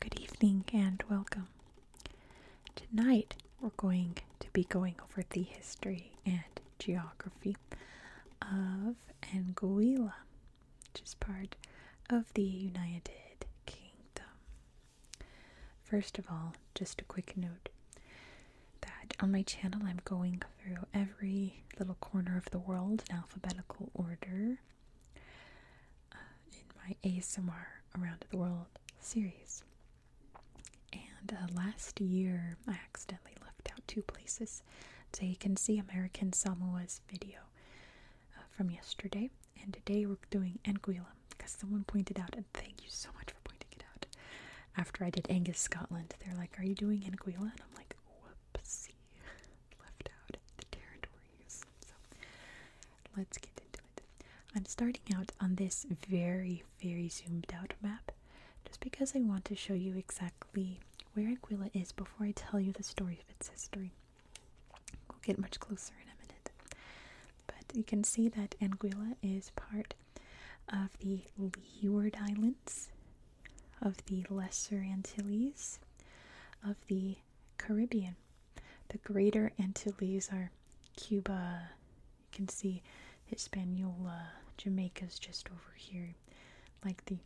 Good evening and welcome. Tonight we're going to be going over the history and geography of Anguilla which is part of the United Kingdom. First of all, just a quick note that on my channel I'm going through every little corner of the world in alphabetical order uh, in my ASMR Around the World series. And uh, last year I accidentally left out two places. So you can see American Samoa's video uh, from yesterday, and today we're doing Anguilla because someone pointed out, and thank you so much for pointing it out. After I did Angus Scotland, they're like, "Are you doing Anguilla?" and I'm like, "Whoopsie, left out the territories." So let's get into it. I'm starting out on this very, very zoomed out map, just because I want to show you exactly where Anguilla is before I tell you the story of its history. We'll get much closer in a minute. But you can see that Anguilla is part of the Leeward Islands, of the Lesser Antilles, of the Caribbean. The Greater Antilles are Cuba. You can see Hispaniola. Jamaica's just over here. Like the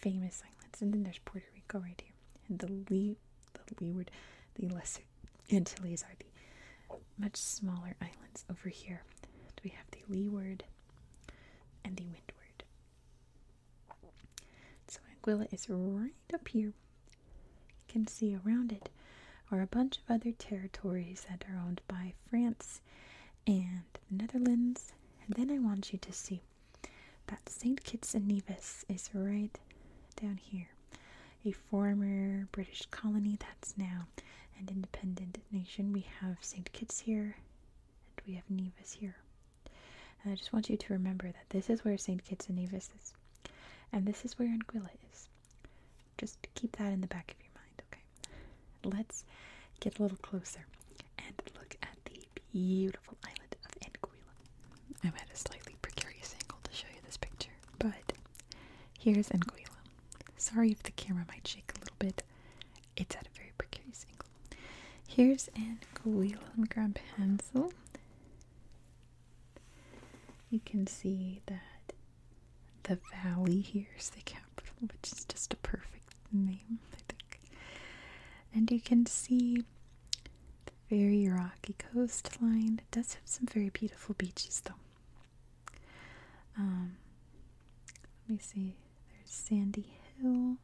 famous islands. And then there's Puerto Rico right here. And the lee, the leeward, the lesser Antilles are the much smaller islands over here. And we have the leeward and the windward. So Anguilla is right up here. You can see around it are a bunch of other territories that are owned by France and the Netherlands. And then I want you to see that St. Kitts and Nevis is right down here, a former British colony that's now an independent nation. We have St. Kitts here, and we have Nevis here. And I just want you to remember that this is where St. Kitts and Nevis is, and this is where Anguilla is. Just keep that in the back of your mind, okay? Let's get a little closer and look at the beautiful island of Anguilla. I'm at a slightly precarious angle to show you this picture, but here's Anguilla. Sorry if the camera might shake a little bit. It's at a very precarious angle. Here's Anguilla. Let me grab a pencil. You can see that the valley here is the capital, which is just a perfect name, I think. And you can see the very rocky coastline. It does have some very beautiful beaches, though. Um, let me see. There's Sandy Hill.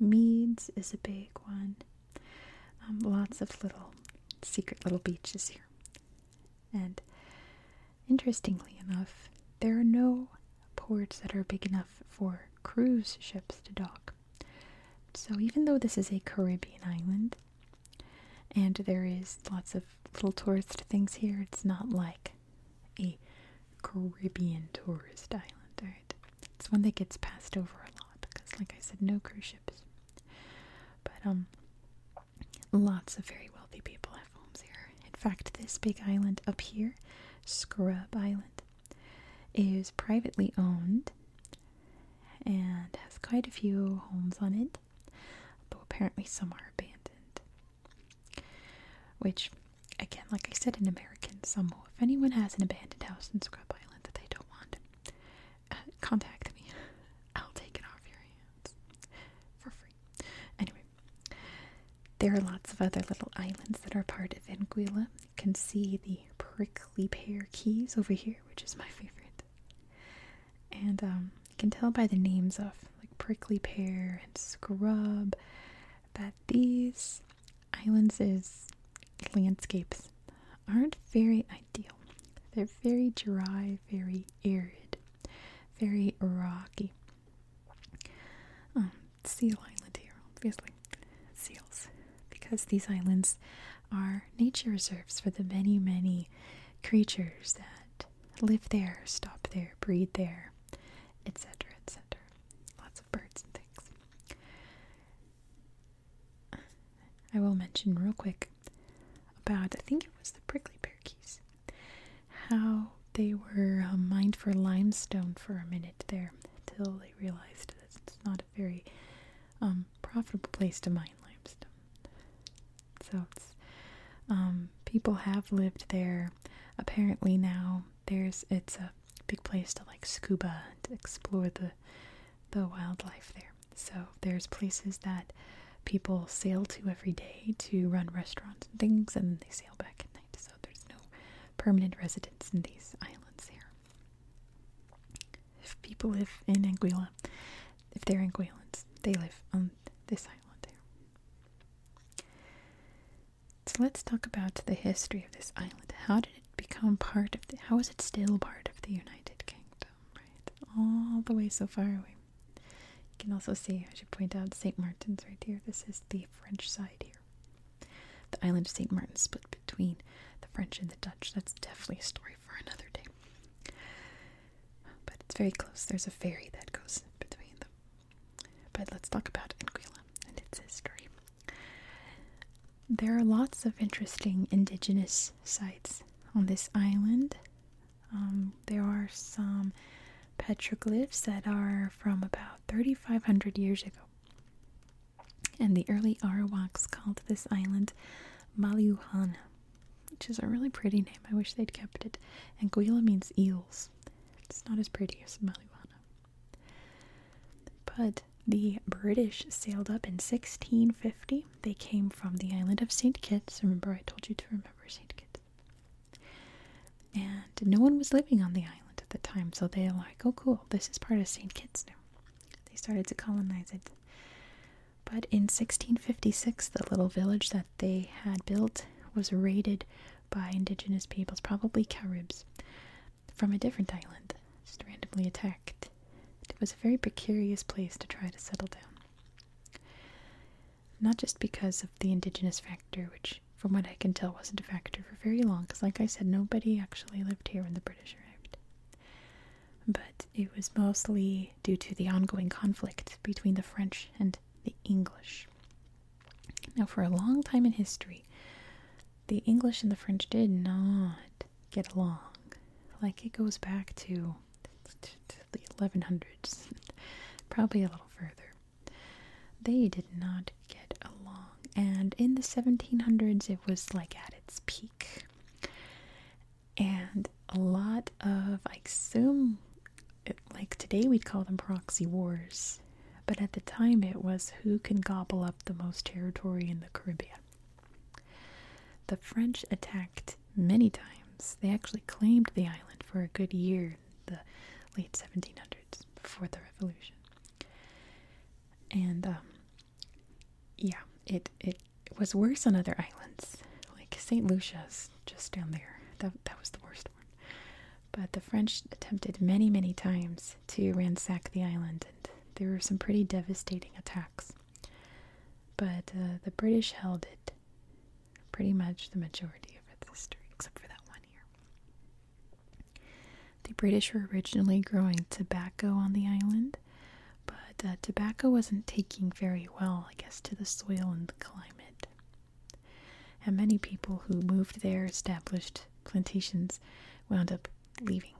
Meads is a big one. Um, lots of little secret little beaches here. And interestingly enough, there are no ports that are big enough for cruise ships to dock. So even though this is a Caribbean island, and there is lots of little tourist things here, it's not like a Caribbean tourist island, right? It's one that gets passed over a lot because, like I said, no cruise ships. But um, lots of very wealthy people have homes here. In fact, this big island up here, Scrub Island, is privately owned and has quite a few homes on it, though apparently some are abandoned. Which, again, like I said in America, Samoa, if anyone has an abandoned house in Scrub Island that they don't want, uh, contact me. I'll take it off your hands for free. Anyway, there are lots of other little islands that are part of Anguilla. You can see the prickly pear keys over here, which is my favorite. And um, you can tell by the names of like prickly pear and scrub that these islands landscapes aren't very ideal. They're very dry, very arid, very rocky. Um, seal island here, obviously. Seals. Because these islands are nature reserves for the many, many creatures that live there, stop there, breed there, etc., etc. Lots of birds and things. I will mention real quick about, I think it was the prickly pear keys, how they were um, mined for limestone for a minute there until they realized that it's not a very um, profitable place to mine limestone. So um, people have lived there. Apparently now there's it's a big place to like scuba and explore the the wildlife there. So there's places that people sail to every day to run restaurants and things, and they sail back at night. So there's no permanent residents in these islands here. If people live in Anguilla, if they're Anguillans, they live on this island here. So let's talk about the history of this island. How did it become part of how is it still part of the United Kingdom, right? All the way so far away. You can also see, I should point out, St. Martin's right here. This is the French side here. The island of St. Martin split between the French and the Dutch. That's definitely a story for another day. But it's very close. There's a ferry that goes between them. But let's talk about Anguilla and its history. There are lots of interesting indigenous sites on this island. Um, there are some petroglyphs that are from about 3,500 years ago. And the early Arawaks called this island Maluhana, which is a really pretty name. I wish they'd kept it. And Guila means eels. It's not as pretty as Maluhana. But the British sailed up in 1650. They came from the island of St. Kitts. Remember, I told you to remember St. Kitts. And no one was living on the island at the time, so they were like, oh, cool, this is part of St. Kitts now. They started to colonize it. But in 1656, the little village that they had built was raided by indigenous peoples, probably Caribs, from a different island, just randomly attacked. It was a very precarious place to try to settle down. Not just because of the indigenous factor, which from what I can tell, wasn't a factor for very long because, like I said, nobody actually lived here when the British arrived. But it was mostly due to the ongoing conflict between the French and the English. Now, for a long time in history, the English and the French did not get along. Like, it goes back to the 1100s, probably a little further. They did not get along, and in the 1700s, it was like at its peak. And a lot of, I assume, like today we'd call them proxy wars, but at the time it was who can gobble up the most territory in the Caribbean. The French attacked many times. They actually claimed the island for a good year the late 1700s before the revolution. And um, yeah, it it was worse on other islands, like Saint Lucia's just down there. That that was the worst one. But the French attempted many many times to ransack the island, and there were some pretty devastating attacks. But uh, the British held it pretty much the majority of its history, except for that one year. The British were originally growing tobacco on the island, but uh, tobacco wasn't taking very well, I guess, to the soil and the climate. And many people who moved there, established plantations, wound up leaving.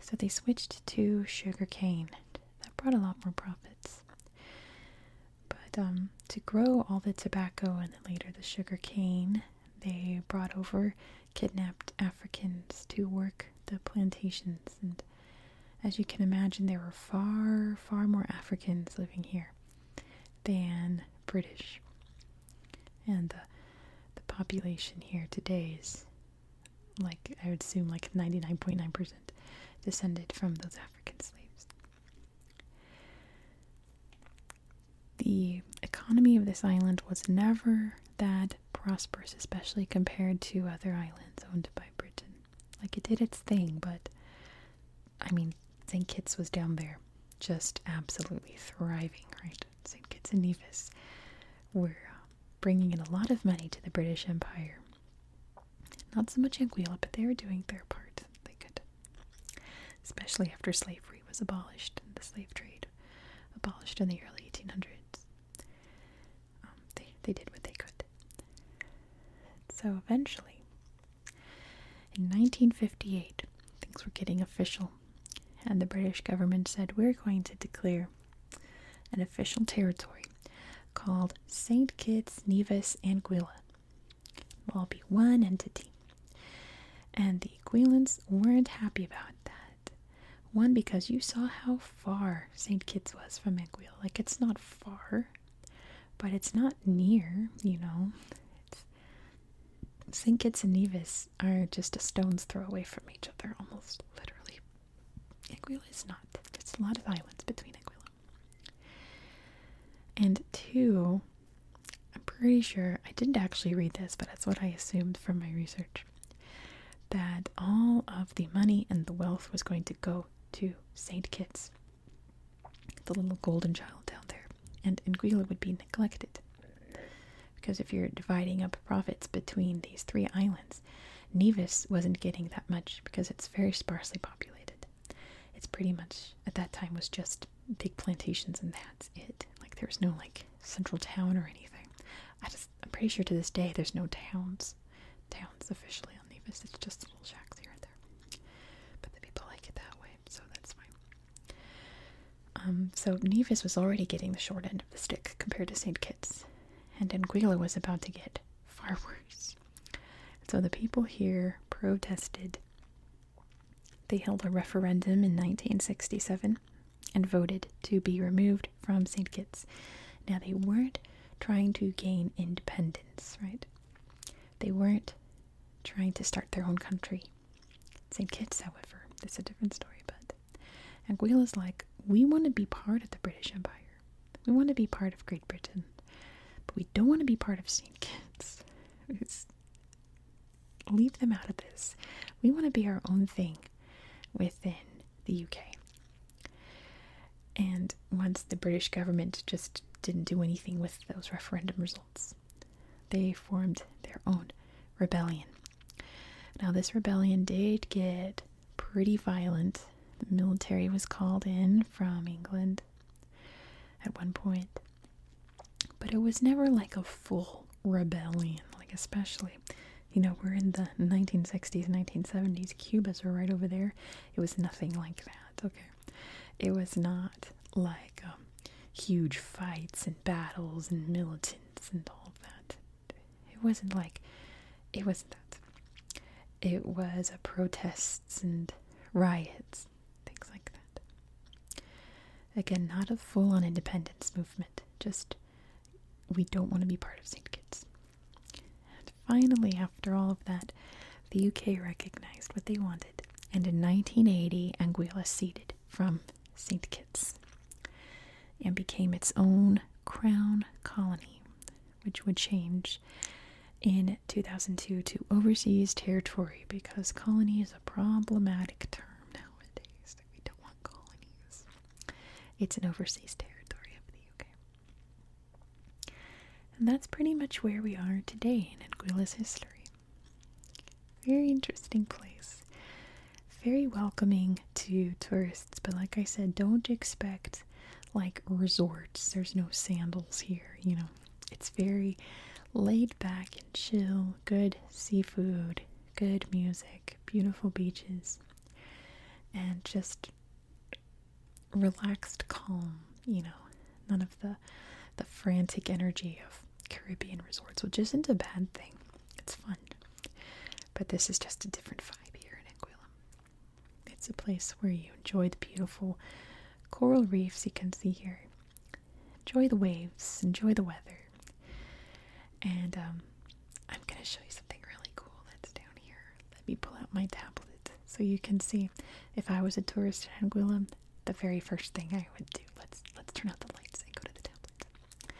So they switched to sugar cane. That brought a lot more profits. But um, to grow all the tobacco and then later the sugar cane, they brought over kidnapped Africans to work the plantations. And as you can imagine, there were far, far more Africans living here than British. And uh, the population here today is, like, I would assume, like 99.9% descended from those African slaves. The economy of this island was never that prosperous, especially compared to other islands owned by Britain. Like it did its thing, but I mean, St. Kitts was down there just absolutely thriving, right? St. Kitts and Nevis were uh, bringing in a lot of money to the British Empire. Not so much Anguilla, but they were doing their part. They could especially after slavery was abolished and the slave trade abolished in the early 1800s. Um, they, they did what they could. So eventually, in 1958, things were getting official, and the British government said, We're going to declare an official territory called St. Kitts, Nevis, and Gwila will all be one entity. And the Aquilans weren't happy about that. One, because you saw how far St. Kitts was from Anguilla. Like, it's not far, but it's not near, you know. St. Kitts and Nevis are just a stone's throw away from each other, almost literally. Anguilla is not. There's a lot of islands between Anguilla and two, I'm pretty sure I didn't actually read this, but that's what I assumed from my research that all of the money and the wealth was going to go to St. Kitts, the little golden child down there, and Anguilla would be neglected. Because if you're dividing up profits between these three islands, Nevis wasn't getting that much because it's very sparsely populated. It's pretty much at that time was just big plantations and that's it. Like there was no like central town or anything. I just I'm pretty sure to this day there's no towns, towns officially on Nevis. It's just little shacks here and there. But the people like it that way, so that's fine. Um, so Nevis was already getting the short end of the stick compared to St. Kitts, and Anguilla was about to get far worse. So the people here protested they held a referendum in 1967 and voted to be removed from St. Kitts. Now, they weren't trying to gain independence, right? They weren't trying to start their own country. St. Kitts, however, is a different story, but is like, we want to be part of the British Empire. We want to be part of Great Britain, but we don't want to be part of St. Kitts leave them out of this. We want to be our own thing within the UK. And once the British government just didn't do anything with those referendum results, they formed their own rebellion. Now, this rebellion did get pretty violent. The military was called in from England at one point. But it was never like a full rebellion, like especially, you know, we're in the 1960s, 1970s. Cuba's were right over there. It was nothing like that, okay? It was not like um, huge fights and battles and militants and all that. It wasn't like, it wasn't that. It was uh, protests and riots things like that. Again, not a full on independence movement, just we don't want to be part of St. Kitts. And finally, after all of that, the UK recognized what they wanted, and in 1980, Anguilla ceded from St. Kitts and became its own crown colony, which would change in 2002 to overseas territory because colony is a problematic term nowadays. we don't want colonies. It's an overseas territory of the UK. And that's pretty much where we are today in Anguilla's history. Very interesting place. Very welcoming to tourists, but like I said, don't expect like resorts. There's no sandals here, you know, it's very laid back and chill, good seafood, good music, beautiful beaches, and just relaxed calm, you know, none of the the frantic energy of Caribbean resorts, which isn't a bad thing. It's fun. But this is just a different vibe here in Anguilla. It's a place where you enjoy the beautiful coral reefs you can see here. Enjoy the waves, enjoy the weather. And um, I'm going to show you something really cool that's down here. Let me pull out my tablet so you can see. If I was a tourist in Anguilla, the very first thing I would do. Let's let's turn out the lights and go to the tablet.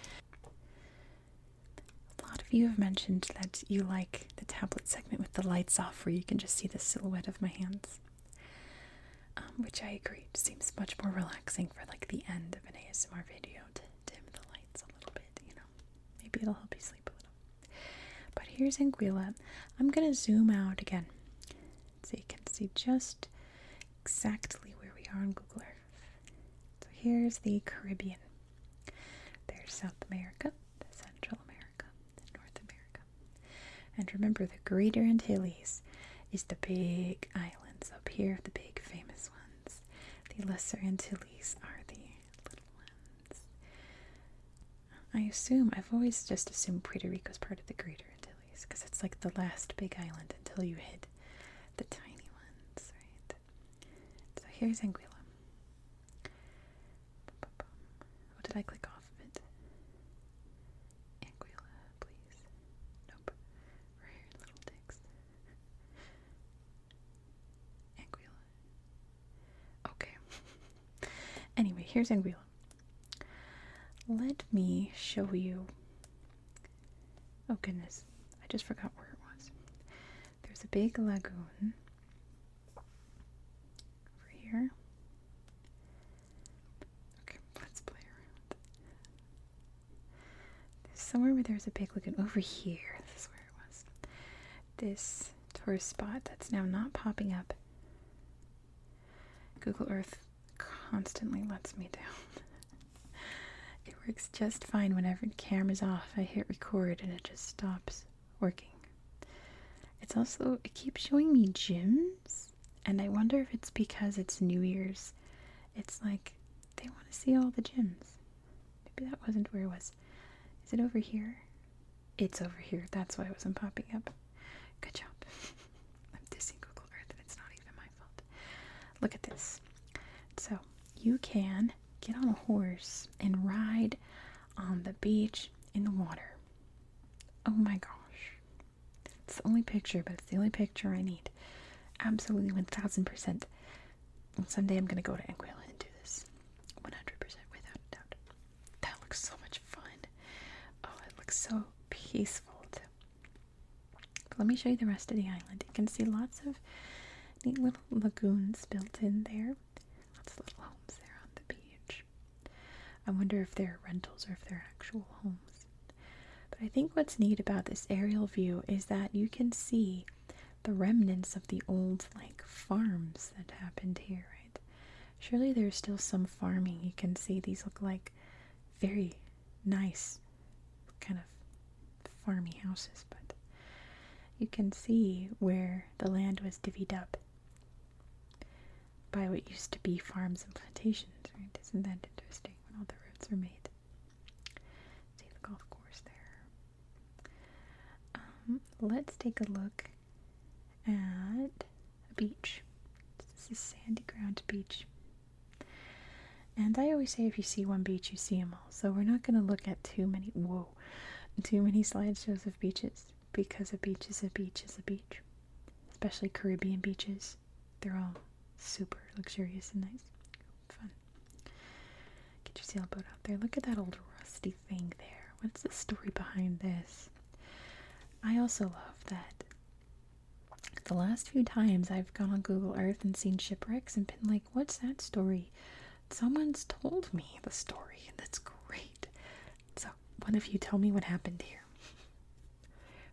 A lot of you have mentioned that you like the tablet segment with the lights off, where you can just see the silhouette of my hands. Um, which I agree seems much more relaxing for like the end of an ASMR video to dim the lights a little bit, you know. Maybe it'll help you sleep a little. But here's Anguilla. I'm gonna zoom out again so you can see just exactly where we are on Google Earth. So here's the Caribbean. There's South America, Central America. North America. And remember, the Greater Antilles is the big islands up here, the big famous ones. The Lesser Antilles are the little ones. I assume, I've always just assumed Puerto Rico's part of the Greater Antilles because it's like the last big island until you hit the tiny ones, right? So here's Anguilla. What did I click off of it? Anguilla, please. Nope. Rare little dicks. Anguilla. Okay. anyway, here's Anguilla. Let me show you. Oh goodness, I just forgot where it was. There's a big lagoon over here. Okay, let's play around. There's somewhere where there's a big looking. Over here, this is where it was. This tourist spot that's now not popping up. Google Earth constantly lets me down. it works just fine whenever the camera's off. I hit record and it just stops working. It's also, it keeps showing me gyms, and I wonder if it's because it's New Year's. It's like they want to see all the gyms. Maybe that wasn't where it was. Is it over here? It's over here. That's why it wasn't popping up. Good job. I'm dissing Google Earth, and it's not even my fault. Look at this. So, you can get on a horse and ride on the beach in the water. Oh my gosh. It's the only picture, but it's the only picture I need. Absolutely 1000%. Someday I'm going to go to Anguilla and do this. 100% without a doubt. That looks so much fun. Oh, it looks so peaceful too. let me show you the rest of the island. You can see lots of neat little lagoons built in there. Lots of little homes there on the beach. I wonder if they're rentals or if they're actual homes. But I think what's neat about this aerial view is that you can see the remnants of the old like farms that happened here, right? Surely there's still some farming you can see. These look like very nice kind of farmy houses, but you can see where the land was divvied up by what used to be farms and plantations, right? Isn't that interesting when all the roads are made? See the golf course there. Um, let's take a look at a beach. This is sandy ground beach. And I always say if you see one beach, you see them all. So we're not going to look at too many, whoa, too many slideshows of beaches because a beach is a beach is a beach. Especially Caribbean beaches. They're all super luxurious and nice. Fun. Get your sailboat out there. Look at that old rusty thing there. What's the story behind this? I also love that the last few times I've gone on Google Earth and seen shipwrecks and been like, what's that story? Someone's told me the story, and that's great. So, one of you tell me what happened here.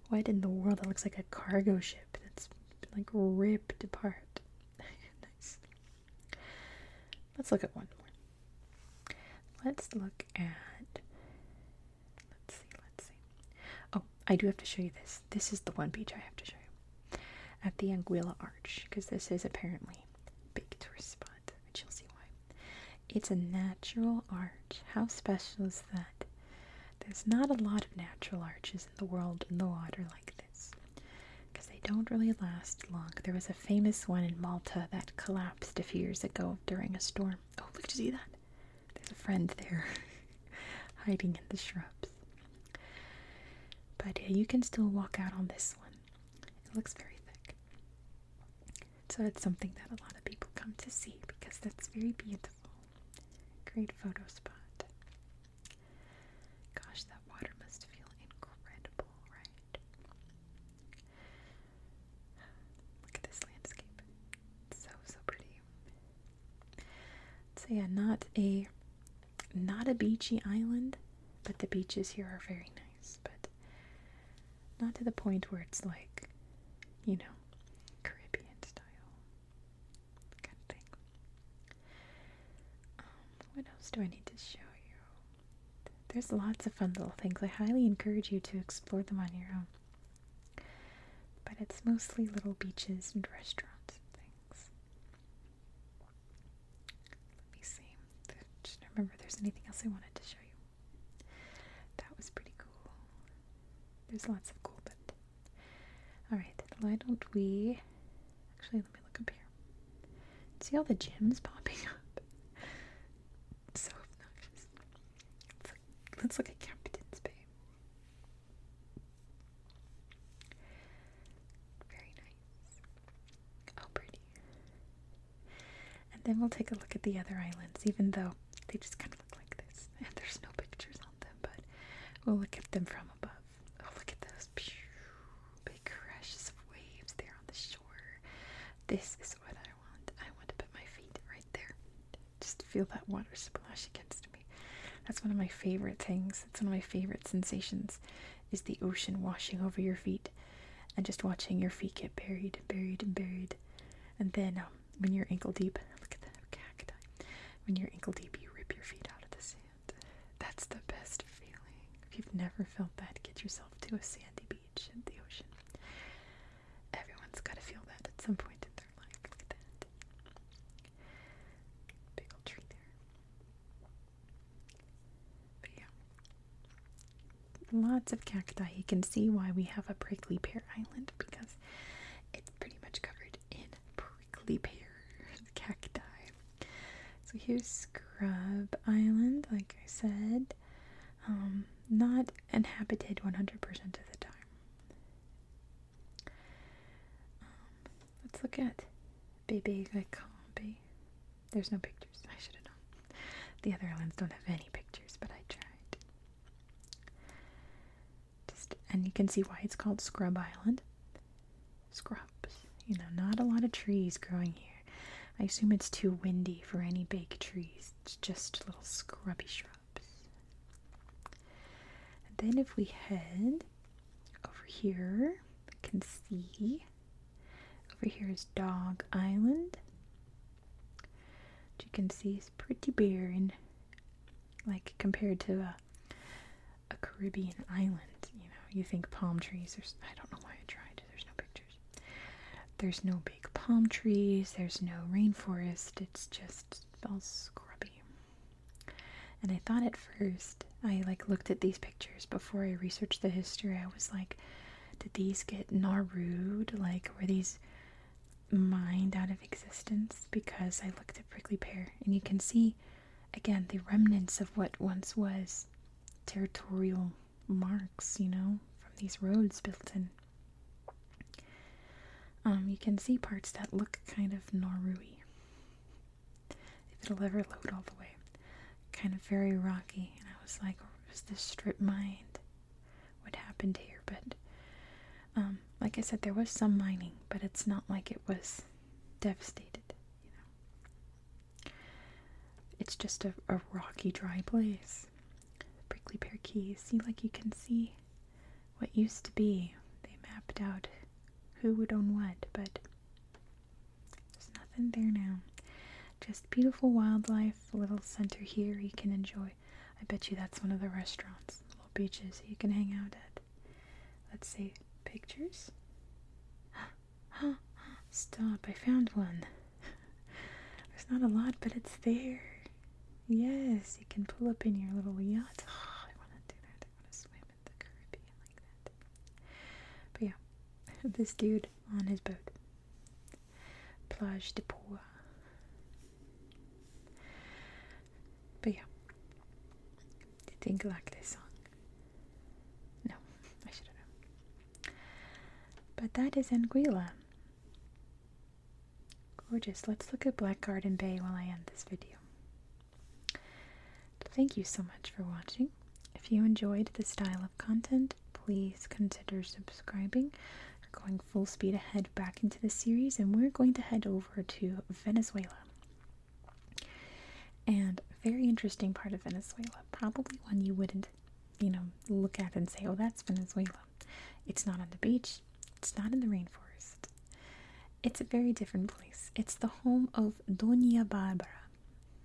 What in the world? That looks like a cargo ship that's like ripped apart. nice. Let's look at one more. Let's look at. Let's see, let's see. Oh, I do have to show you this. This is the one beach I have to show you. At the Anguilla Arch, because this is apparently a big tourist spot you'll see why. It's a natural arch. How special is that? There's not a lot of natural arches in the world in the water like this because they don't really last long. There was a famous one in Malta that collapsed a few years ago during a storm. Oh, look, to see that? There's a friend there hiding in the shrubs. But uh, you can still walk out on this one. It looks very thick. So it's something that a lot of people come to see because that's very beautiful. Great photo spot. Gosh, that water must feel incredible, right? Look at this landscape. so so pretty. So yeah, not a not a beachy island, but the beaches here are very nice but not to the point where it's like, you know, Caribbean style kind of thing. Um, what else do I need to show you? There's lots of fun little things. I highly encourage you to explore them on your own. But it's mostly little beaches and restaurants and things. Let me see. I'm trying remember if there's anything else I wanted to show you. That was pretty cool. There's lots of cool, but. Alright, why don't we. Actually, let me look up here. See all the gems popping up? so obnoxious. Let's look, let's look at Captain's Bay. Very nice. Oh, pretty. And then we'll take a look at the other islands, even though they just kind of look like this. And there's no pictures on them, but we'll look at them from above. Oh, look at those big crashes of waves there on the shore. This is what I want. I want to put my feet right there. Just feel that water splash against me. That's one of my favorite things. It's one of my favorite sensations is the ocean washing over your feet and just watching your feet get buried, buried, and buried. And then um, when you're ankle deep, look at that cacti. When you're ankle deep, you rip your feet out of the sand. That's the best feeling. If you've never felt that, get yourself to a sandy beach and the ocean. Everyone's got to feel that at some point in their life. Look at that. Big old tree there. Lots of cacti. You can see why we have a prickly pear island because it's pretty much covered in prickly pears, cacti. So here's Scrub Island, like I said. Um, not inhabited 100% of the time. Um, let's look at Baby Bebe Gacambe. There's no pictures. I should have known. The other islands don't have any pictures, but I tried. Just and you can see why it's called Scrub Island. Scrubs. You know, not a lot of trees growing here. I assume it's too windy for any big trees. It's just little scrubby shrubs. then if we head over here, we can see over here is Dog Island, which you can see is pretty barren, like compared to a, a Caribbean island. You know, you think palm trees. There's I don't know why I tried. There's no pictures. There's no big palm trees. There's no rainforest. It's just all scrubby. And I thought at first I like looked at these pictures before I researched the history. I was like, did these get naru Like, were these mined out of existence? Because I looked at Prickly Pear, and you can see again the remnants of what once was territorial marks, you know, from these roads built in. Um, you can see parts that look kind of Norui if it'll ever load all the way. Kind of very rocky, and I was like, was this strip mined? What happened here? But um, like I said, there was some mining, but it's not like it was devastated, you know. It's just a, rocky, dry place. Prickly Pear Keys. See, like you can see what used to be. They mapped out who would own what, but there's nothing there now. Just beautiful wildlife, little center here you can enjoy. I bet you that's one of the restaurants, little beaches you can hang out at. Let's see, pictures? Stop, I found one. There's not a lot, but it's there. Yes, you can pull up in your little yacht. I want to do that. I want to swim in the Caribbean like that. But yeah, this dude on his boat. Plage de Poix. But yeah, do you think I like this song? No, I should have known. But that is Anguilla. Gorgeous. Let's look at Black Garden Bay while I end this video. Thank you so much for watching. If you enjoyed the style of content, please consider subscribing. We're going full speed ahead back into the series, and we're going to head over to Venezuela. And very interesting part of Venezuela, probably one you wouldn't, you know, look at and say, "Oh, that's Venezuela." It's not on the beach. It's not in the rainforest. It's a very different place. It's the home of Doña Barbara.